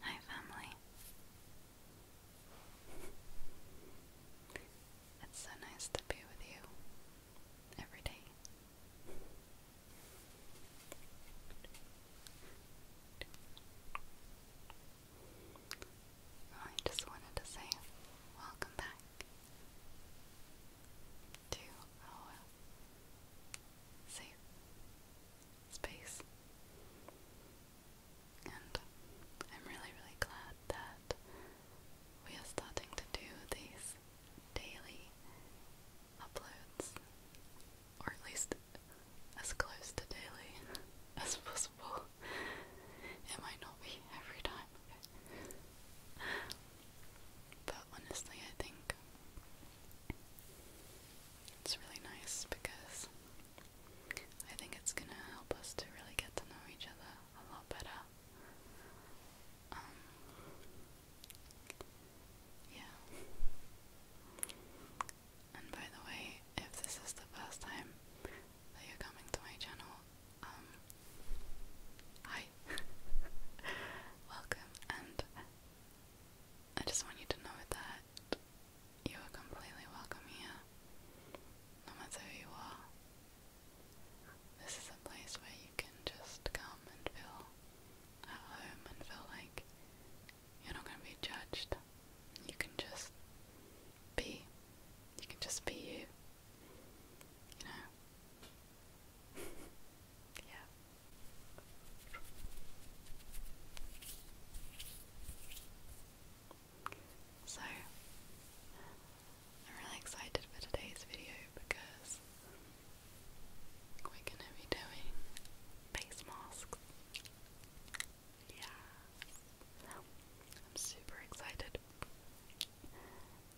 Hi, family. It's so nice to be with you every day. Oh, I just wanted to say welcome back to our oh, space. And I'm really, really glad that we are starting to do these daily uploads, or at least as close to daily as possible. It might not be every time, but honestly, I think it's really nice because I think it's gonna help us to really get to know each other a lot better. Um, yeah. And by the way, if this is the first time that you're coming to my channel, um, hi, welcome, and I just want you to know that you are completely welcome here, no matter who you are. This is a place where you can just come and feel at home and feel like you're not going to be judged. You can just be. You can just be you. You know? So, I'm really excited for today's video because we're gonna be doing face masks. Yeah, I'm super excited.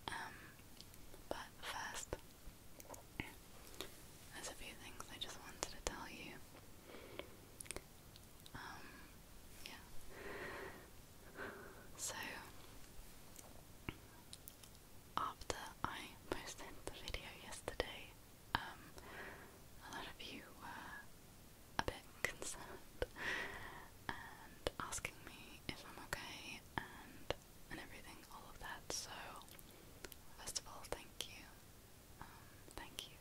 Um, but first, there's a few things I just wanted to tell you. Um, yeah. So, after I posted the video yesterday, um, a lot of you were a bit concerned and asking me if I'm okay and and everything, all of that. So, first of all, thank you. Um, thank you.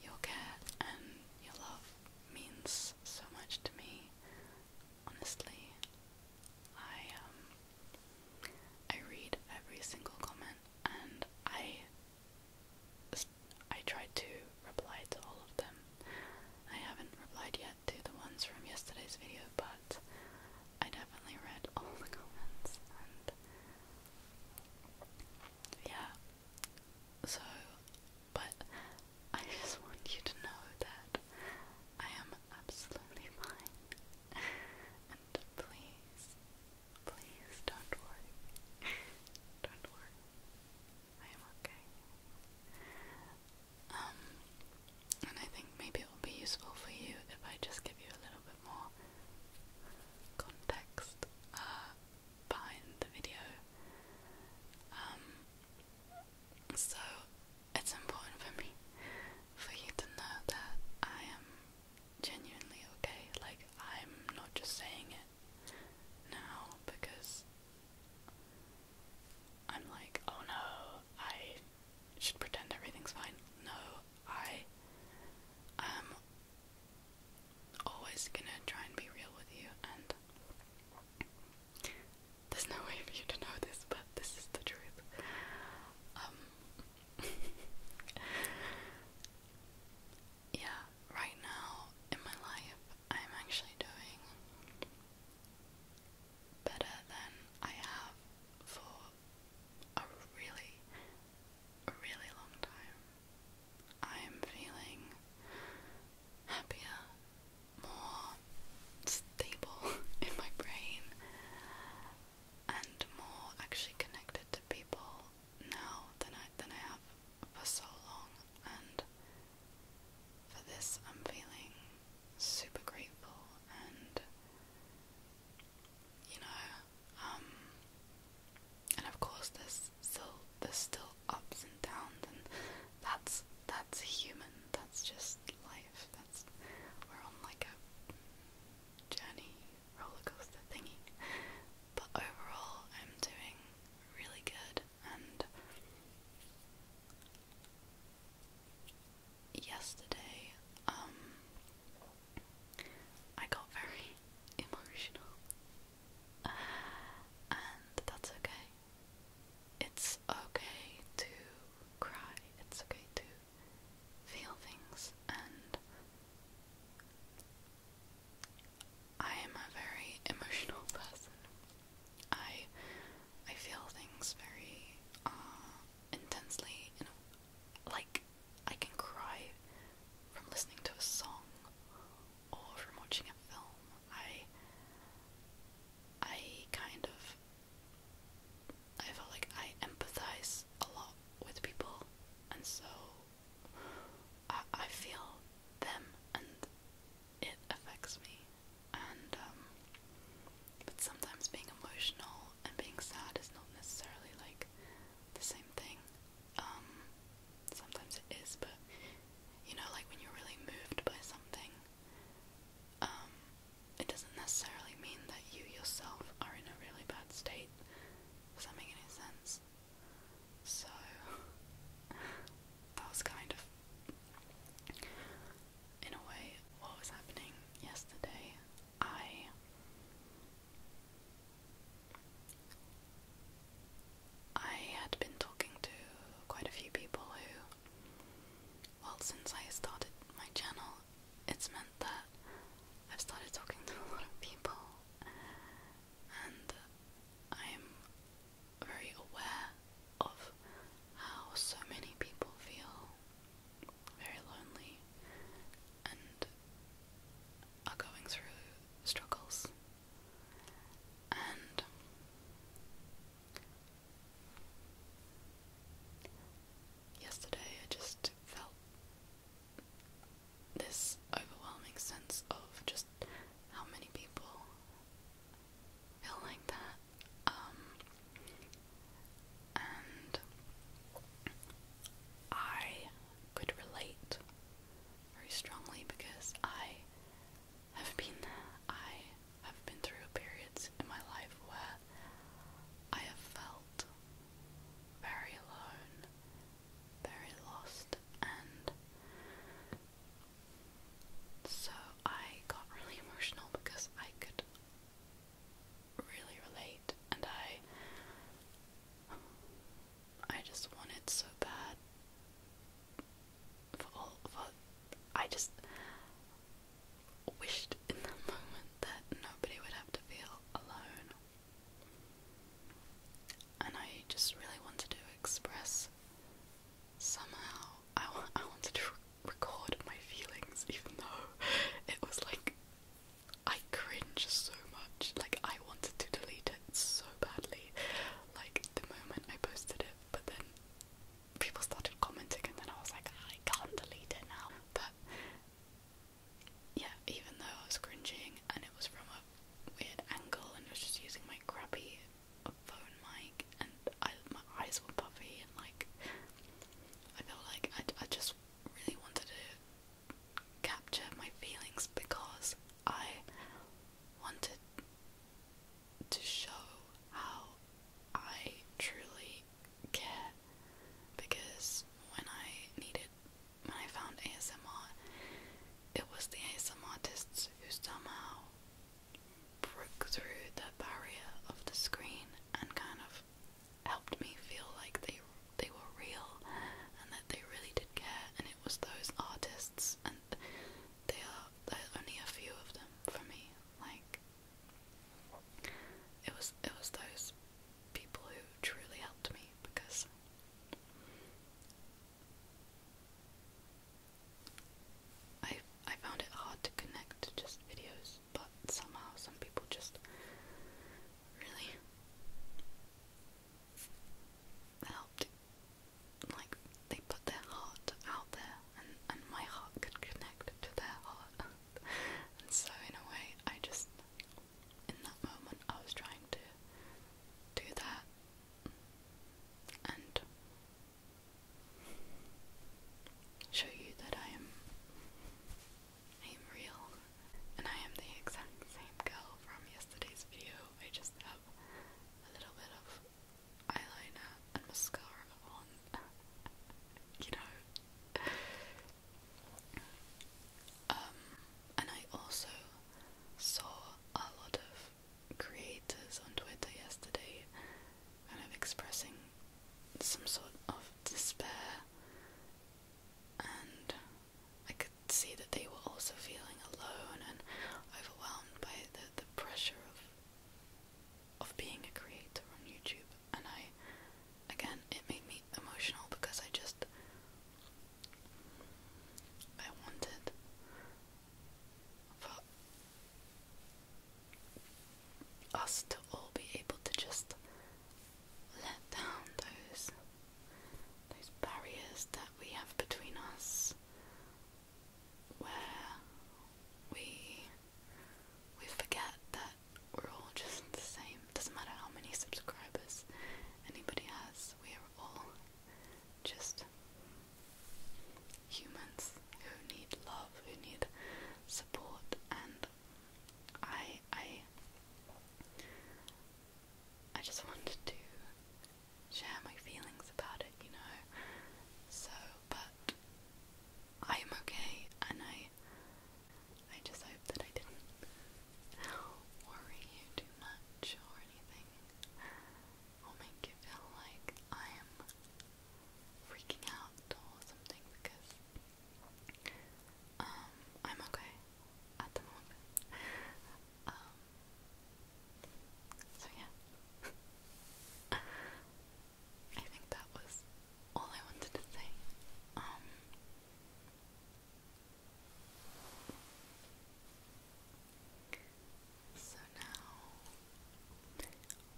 your care and your love means so much to me. Honestly, I um, I read every single comment, and I I try to reply to all of them. I haven't replied yet to the ones from yesterday's video, but I definitely read all the comments and yeah. So, but I just want you to know that I am absolutely fine. And please, please don't worry. Don't worry. I am okay. Um, and I think maybe it will be useful for you if I just give you a little bit more context uh, behind the video. Um, so it's important for me for you to know that I am genuinely okay. Like, I'm not just saying it now because. I'm like, oh no, I should pretend everything's fine. No, I am always gonna try and be real with you, and there's no way for you to know this, but this is the truth. Um, yeah, right now in my life, I'm actually doing better than I have for a really, really long time. I am feeling happier, more stable in my brain, and more actually connected to people now than I than I have for so long and for this I'm feeling super grateful and you know, um, and of course there's still there's still ups and downs and that's that's human, that's just life. That's we're on like a journey roller coaster thingy. But overall I'm doing really good and yesterday, um, I got very emotional, and that's okay. It's okay to cry, it's okay to feel things, and I am a very emotional person. I I feel things very uh, intensely like I can cry from listening to a song or from watching a film. I I kind of I feel like I empathize a lot with people and so I I feel them and it affects me and um but sometimes being emotional and being sad is not necessarily like the same thing. Um sometimes it is, but you know, like when you're really moved by something, um it doesn't necessarily mean that you yourself are in a really bad state. Does that make any sense? So that was kind of in a way, what was happening yesterday. I. I had been talking to quite a few people who, well, since I started my channel, it's meant that I've started talking to a lot of people, and I'm very aware of how so many people feel very lonely, and are going through struggles. And yesterday I just felt this overwhelming sense of just how many people feel like that. Um, and I could relate very strongly because I have been I have been through periods in my life where I have felt very alone, very lost, and so I got really emotional because I could really relate and I I just want so bad for all for I just wished in the moment that nobody would have to feel alone. And I just really wanted to express somehow I, I wanted to record my feelings, even though it was like I cringe so much. Like, I wanted to delete it so badly, like the moment I posted it, but then people started commenting, and then I was like, I can't delete it now. But yeah, even though I was cringing and it was from a weird angle and I was just using my crappy phone mic I, my eyes were puffy and like I felt like I, I just really wanted to capture my feelings because I wanted to show how I truly care because when I needed when I found ASMR it was the ASMR artists who somehow broke through the barrier of the screen and kind of helped me feel like they they were real and that they really did care and it was those artists and they are there are only a few of them for me like it was it was those people who truly helped me because I I found it hard to connect just videos, but somehow some people just really helped. Like they put their heart out there, and and my heart could connect to their heart. and so in a way, I just in that moment I was trying to do that, and show you that I am I am real and I am the exact same girl from yesterday's video. I just have a little bit of eyeliner and mascara on. you know. Um and I also saw a lot of creators on Twitter yesterday kind of expressing some sort of despair, and I could see that they were also feeling alone and overwhelmed by the, the pressure of of being a creator on YouTube. And I, again, it made me emotional because I just I wanted for us to all be able to just let down those those barriers that we have between us where we we forget that we're all just the same. Doesn't matter how many subscribers anybody has, we are all just humans who need love, who need support, and I, I, I just wanted to share my feelings about it, you know. So, but I am okay, and I, I just hope that I didn't worry you too much or anything, or make you feel like I am freaking out or something because um, I'm okay at the moment. Um, so yeah. I think that was all I wanted to say. Um, so now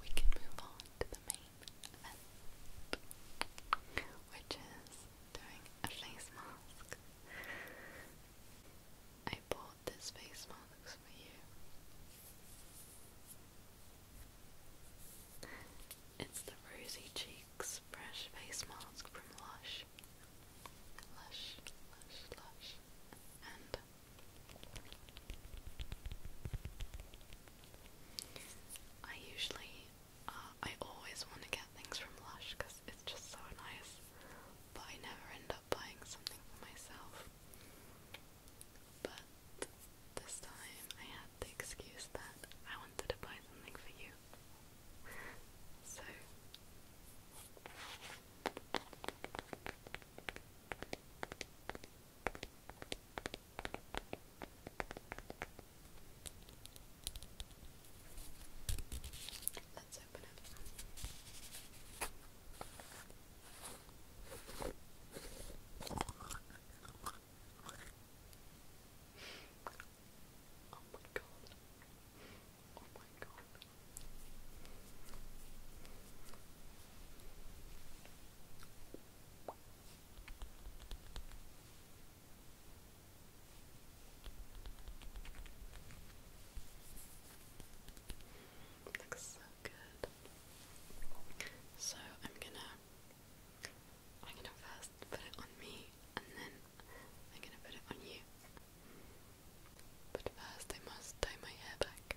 we can move on to the main event, which is doing a face mask. I bought this face mask for you. It's the Rosy Cheeks Fresh Face Mask from Lush. Lush, Lush, Lush. And I usually, uh, I always want to get things from Lush because it's just so nice, but I never end up buying something for myself. But this time I had the excuse that I wanted to buy something for you. So. Let's open it. Oh my god. Oh my god. Looks so good. So I'm gonna first put it on me and then I'm gonna put it on you. But first I must tie my hair back.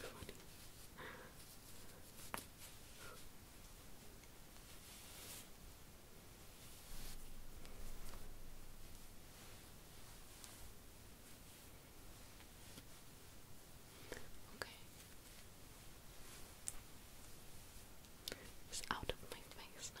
Funny. Okay. It's out of my face now.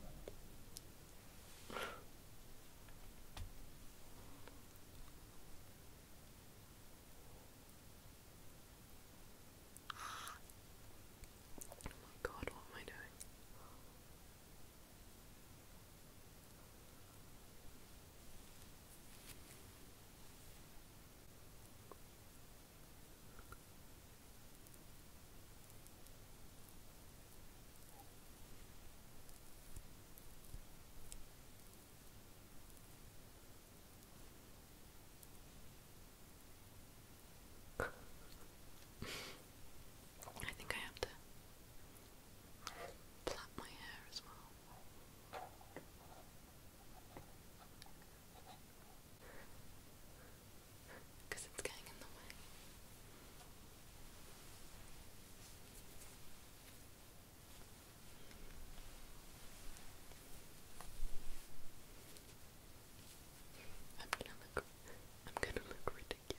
my god, what am I doing? I think I have to plait my hair as well because it's getting in the way. I'm gonna look I'm gonna look ridiculous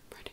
I'm ready.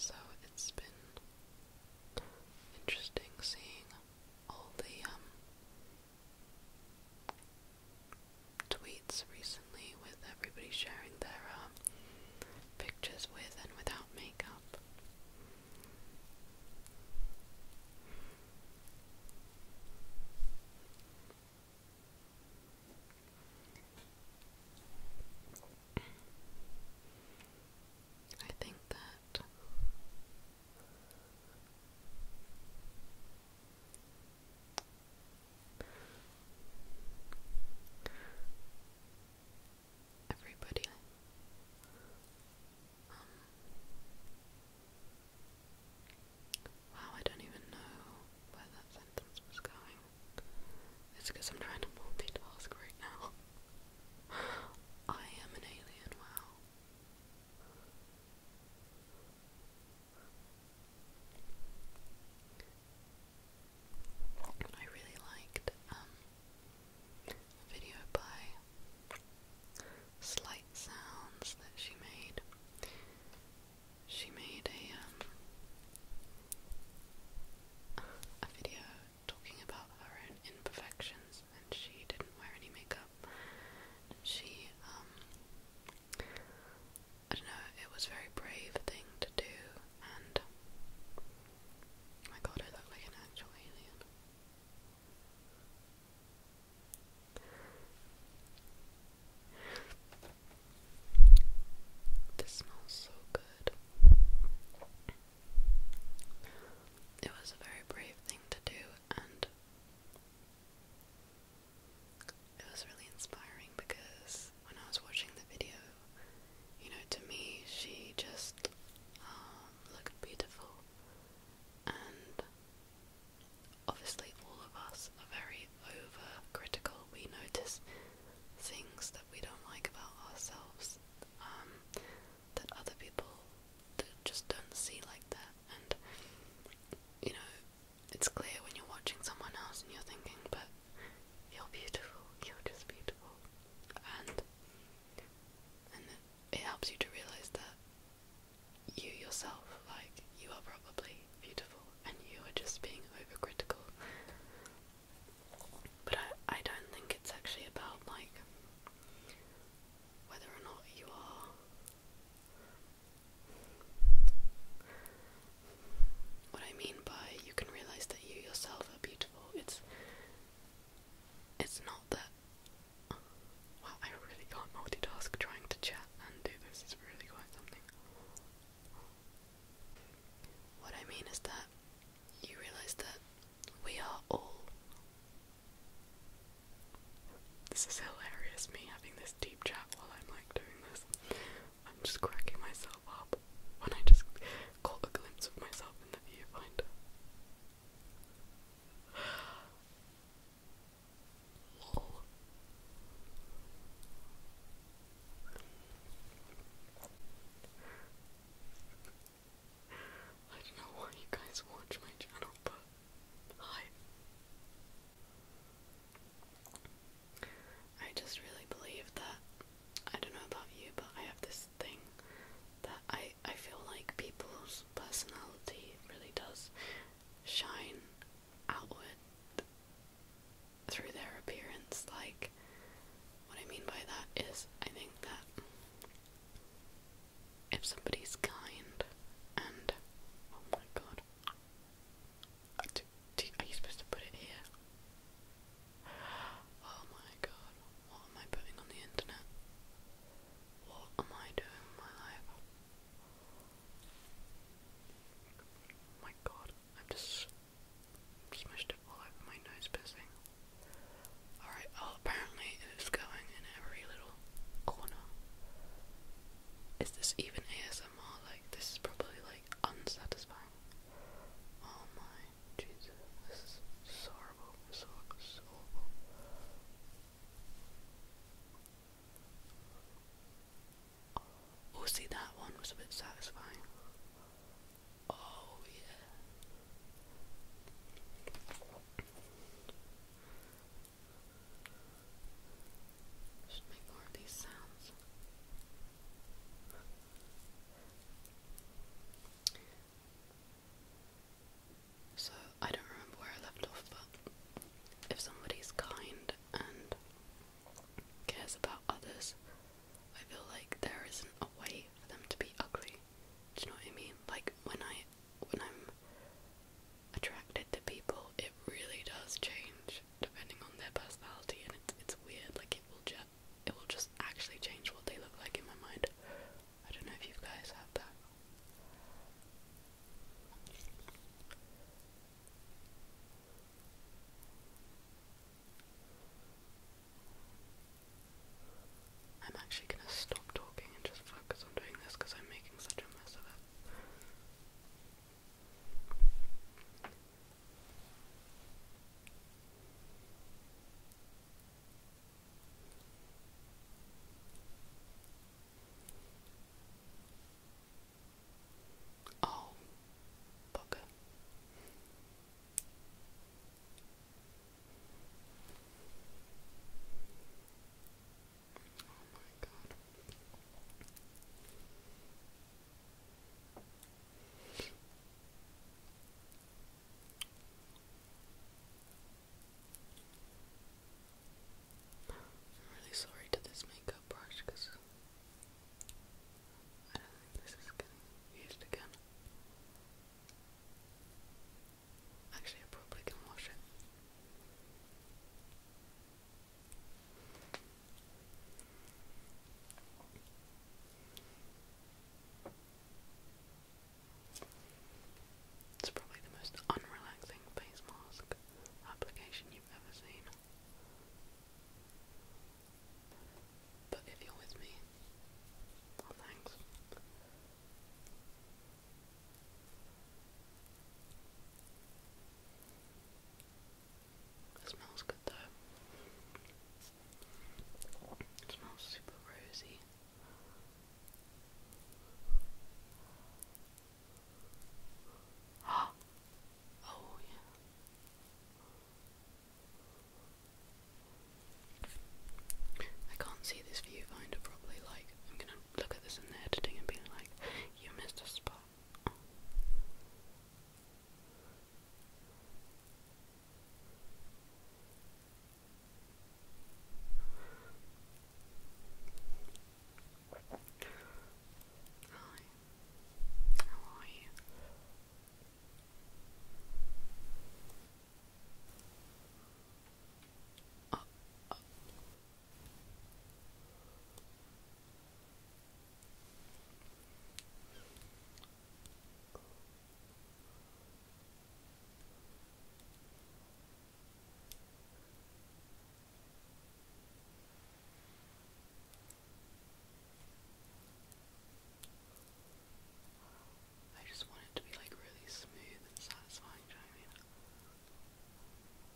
So it's been interesting seeing all the um, tweets recently with everybody sharing their um, pictures with and without makeup. I think that everybody. Um, wow, I don't even know where that sentence was going. It's because I'm trying to multitask right now. I am an alien, wow. I really liked um, a video by Slight Sounds that she made. She made a um, a video talking about her own imperfections, and she didn't wear any makeup. And she um, I don't know, it was very brave thing to do and oh my god, I look like an actual alien. This smells so good. It was a very brave thing to do, and it was really inspiring because when I was watching the video, you know, to me, she just um, looked beautiful. And obviously, all of us are very overcritical. We notice things that we don't like about ourselves um, that other people just don't see like that. And, you know, it's clear when you're watching someone else and you're thinking, but you're beautiful. You're just beautiful. And and it helps you to realize that you yourself, like you are probably beautiful, and you are just being overcritical. But I I don't think it's actually about like whether or not you are what I mean by you can realize that you yourself are beautiful. It's it's not that. Wow, I really can't multitask trying to chat and do this. It's really quite something. What I mean is that you realize that we are all. This is hilarious, me having this deep chat while I'm like doing this. I'm just cracking myself when I just caught a glimpse of myself in the viewfinder. I don't know why you guys watch my channel, but hi. I just really believe that I don't know about you, but I have this thing that I I feel like people's personality really does shine outward through their appearance. Like what I mean by that is I think that if somebody's kind and oh my god uh, are you supposed to put it here? Oh my god, what am I putting on the internet? What am I doing in my life? Oh my god, I've just smushed it all over my nose piercing. Alright, oh, apparently it's going in every little corner. Is this even ASMR? Like, this is probably like unsatisfying Oh my Jesus, this is horrible, so horrible. Oh, see, that one was a bit satisfying. Oh, yeah. Just make more of these sounds. So I don't remember where I left off, but if somebody's kind and cares about others, I feel like there isn't a way for them to be ugly. Do you know what I mean? Like when I when I'm attracted to people, it really does change depending on their personality, and it's it's weird. Like it will jet it will just actually change what they look like in my mind. I don't know if you guys have that. I'm actually going to stop talking and just focus on doing this because I'm making such a mess of it. Oh, bugger. Oh my god. I'm really sorry to this makeup brush because I don't think this is getting used again. Actually, I probably can wash it. It's probably the most unrelaxing face mask application you've ever seen. But if you're with me, well, oh, thanks. It smells good though. smells super rosy. oh yeah. I can't see this viewfinder properly, like, I'm gonna look at this in the editing and be like, you missed a spot. Hi. How are you? Uh, uh. I just want it to be like really smooth and satisfying, do you know what I mean?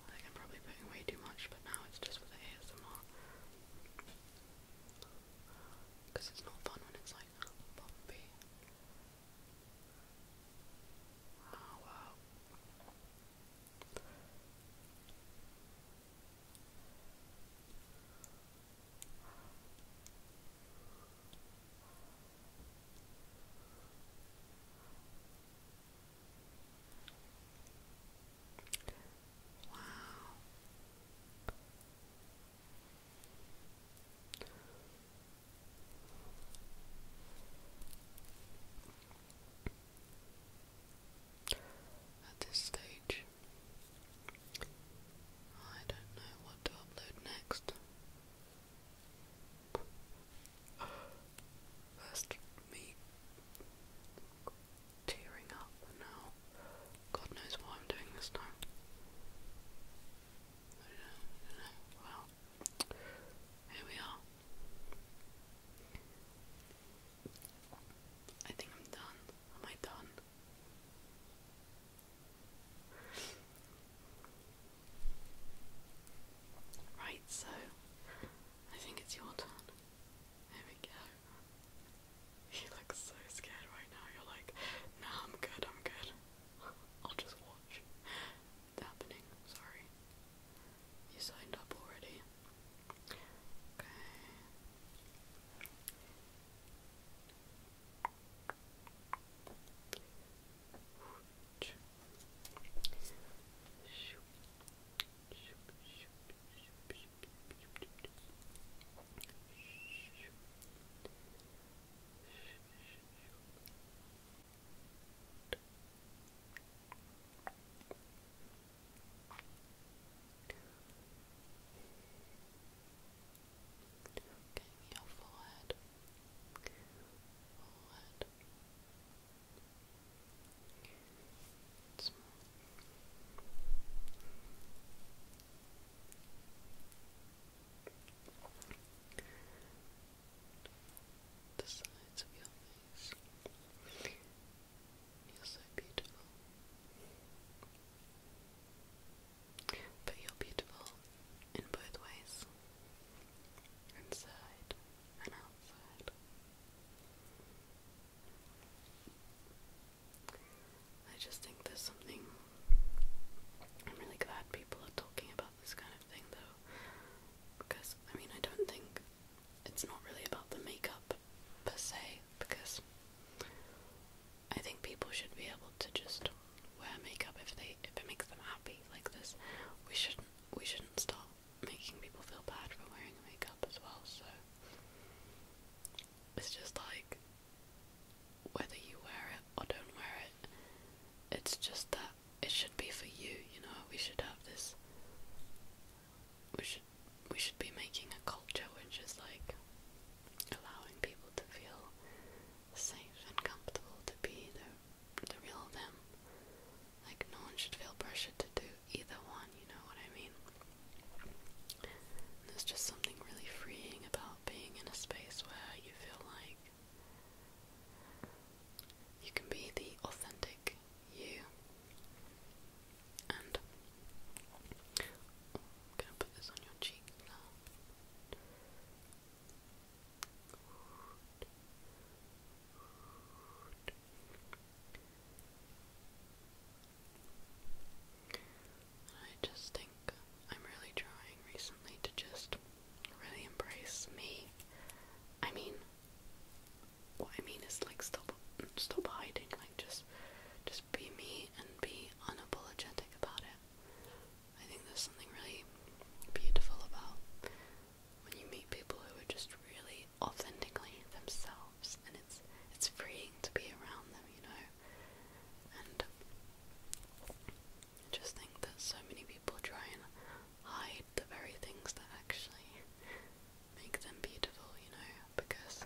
I think I'm probably putting way too much, but now it's just for the ASMR. Because it's not fun when it's like bumpy. Oh, wow. At this stage, I don't know what to upload next. First, me tearing up now. God knows what I'm doing this time. Well, here we are. I think I'm done. Am I done? Right, so I think it's your turn. There we go. He looks so scared right now. You're like, nah, I'm good, I'm good. I'll just watch. It's happening, sorry. You signed up already. Okay your forehead, forehead. Okay and small. The sides of your face. You're so beautiful. But you're beautiful in both ways. Inside and outside. I just think there's something. I'm really glad people are talking about this kind of thing though. Because, I mean, I don't think it's not really about the makeup per se, because I think people should be able to just wear makeup if they if it makes them happy like this. We shouldn't we shouldn't stop making people feel bad for wearing makeup as well, so it's just like whether you wear it or don't wear it, it's just that it should be for you, you know, we should have this we should we should be making a culture which is like allowing people to feel safe and comfortable to be the the real them. Like no one should feel pressured to do either one, you know what I mean? there's just something really freeing about being in a space where you feel like you can be the authentic you. And I'm gonna put this on your cheek now. I just think I'm really trying recently to just really embrace me. I mean, what I mean is like stop, stop hiding. Like just, just be me and be unapologetic about it. I think there's something really beautiful about when you meet people who are just really authentically themselves and it's it's freeing to be around them, you know. And I just think that so many people try and hide the very things that actually make them beautiful, you know, because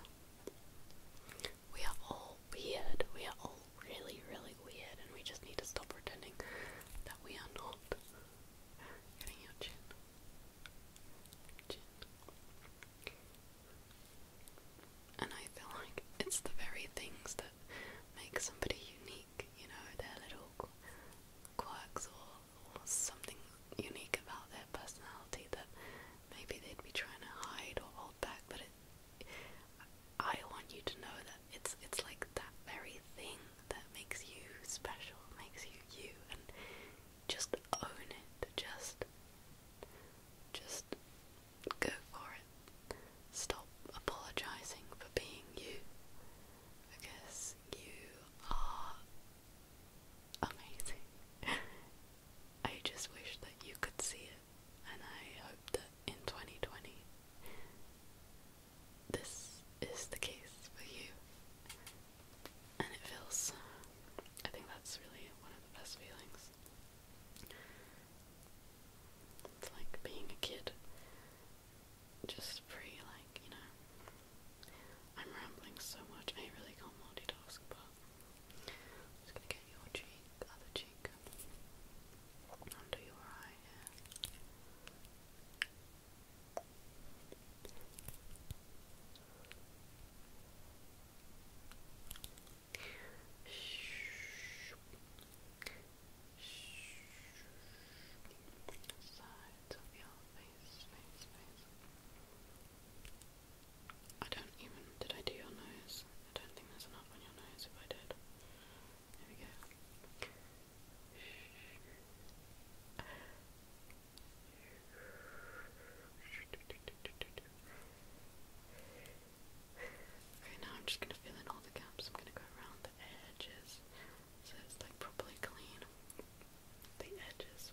we are all weird. We are all really, really weird and we just need to stop pretending that we are not. Getting your Gin. And I feel like it's the very things that make somebody unique, you know, their little quirks or, or something unique about their personality that maybe they'd be trying to hide or hold back, but it, I want you to know that it's it's like that very thing that makes you special, makes you you, and just own it. Just just go for it. Stop apologizing for being you because you are amazing. I just wish that you could see it, and I hope that in 2020 this is the case for you and it feels I think that's really one of the best feelings. It's like being a kid. Just free. like, you know. I'm rambling so much I really can't multitask but just gonna get your cheek, other cheek under your eye Sides of I don't even. Did I do your nose? I don't think there's enough on your nose if I did. There we go. Okay, now I'm just gonna fill in all the gaps. I'm gonna go around the edges so it's like properly clean. The edges.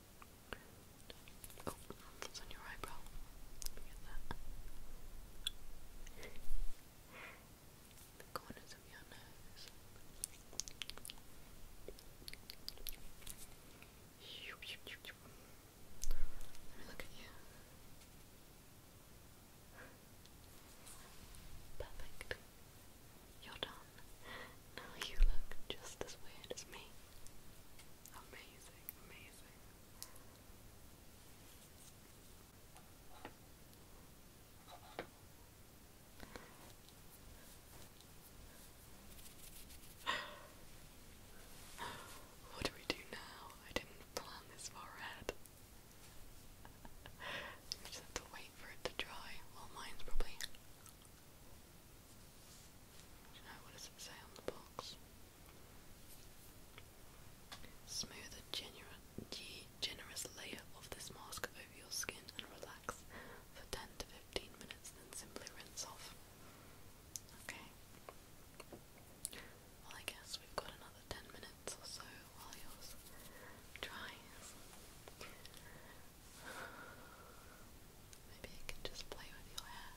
Oh, that's on your eyebrow. Let me get that. the corners of your nose. you. Perfect. You're done. Now you look just as weird as me. Amazing, amazing. What do we do now? I didn't plan this far we just have to wait for it to dry. Well, mine's probably now, what does it say on the box? Smooth a generous layer of this mask over your skin and relax for 10 to 15 minutes, then simply rinse off. Okay. Well, I guess we've got another 10 minutes or so while yours dries. Maybe I can just play with your hair.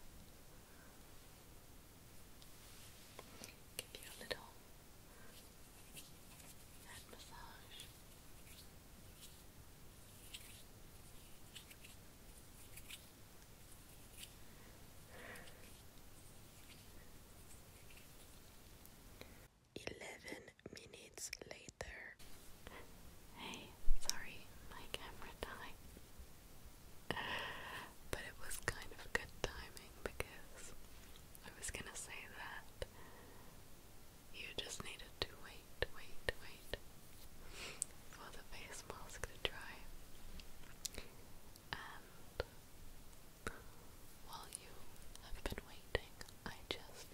Give you a little head massage. Eleven minutes later. Hey, sorry, my camera died. But it was kind of good timing because I was gonna say that you just needed to wait, wait, wait for the face mask to dry. And while you have been waiting, I just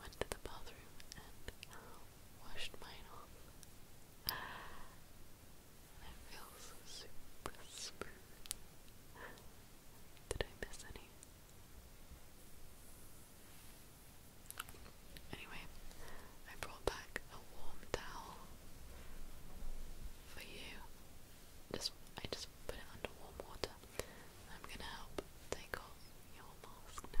went to the bathroom and uh, washed mine off. it feels super smooth. Did I miss any? Anyway, I brought back a warm towel for you. Just I just put it under warm water I'm gonna help take off your mask now,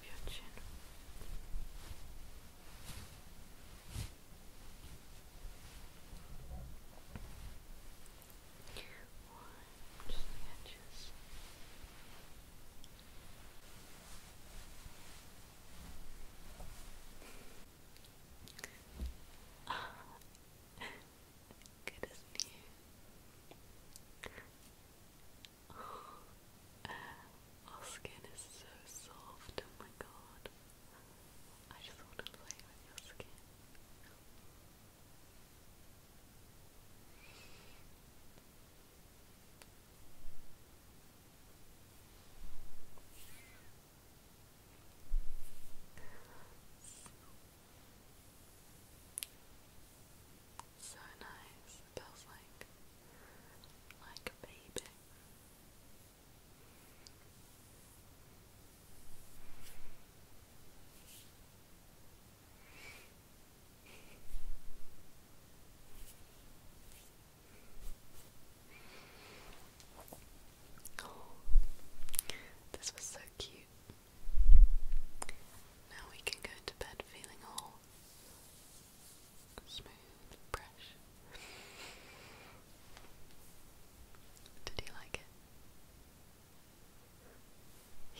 piacciono one, just the edges Good, isn't Our skin is so soft, oh my god. I just want to play with your skin. It's so nice. It feels like like a baby. Oh, this was so cute. Now we can go to bed feeling all smooth, fresh. Did you like it?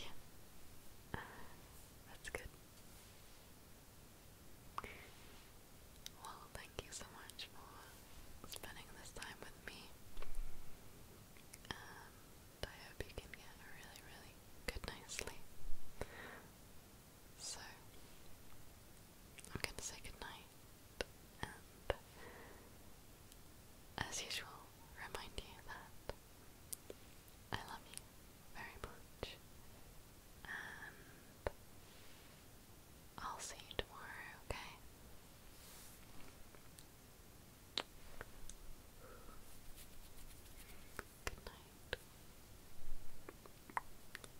Yeah. That's good. Well, thank you so much for spending this time with me. Um, I hope you can get a really, really good night's sleep. So, I'm going to say good night, and as usual, remind you that I love you very much, and I'll see you tomorrow, okay? Good night.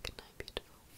Good night, beautiful.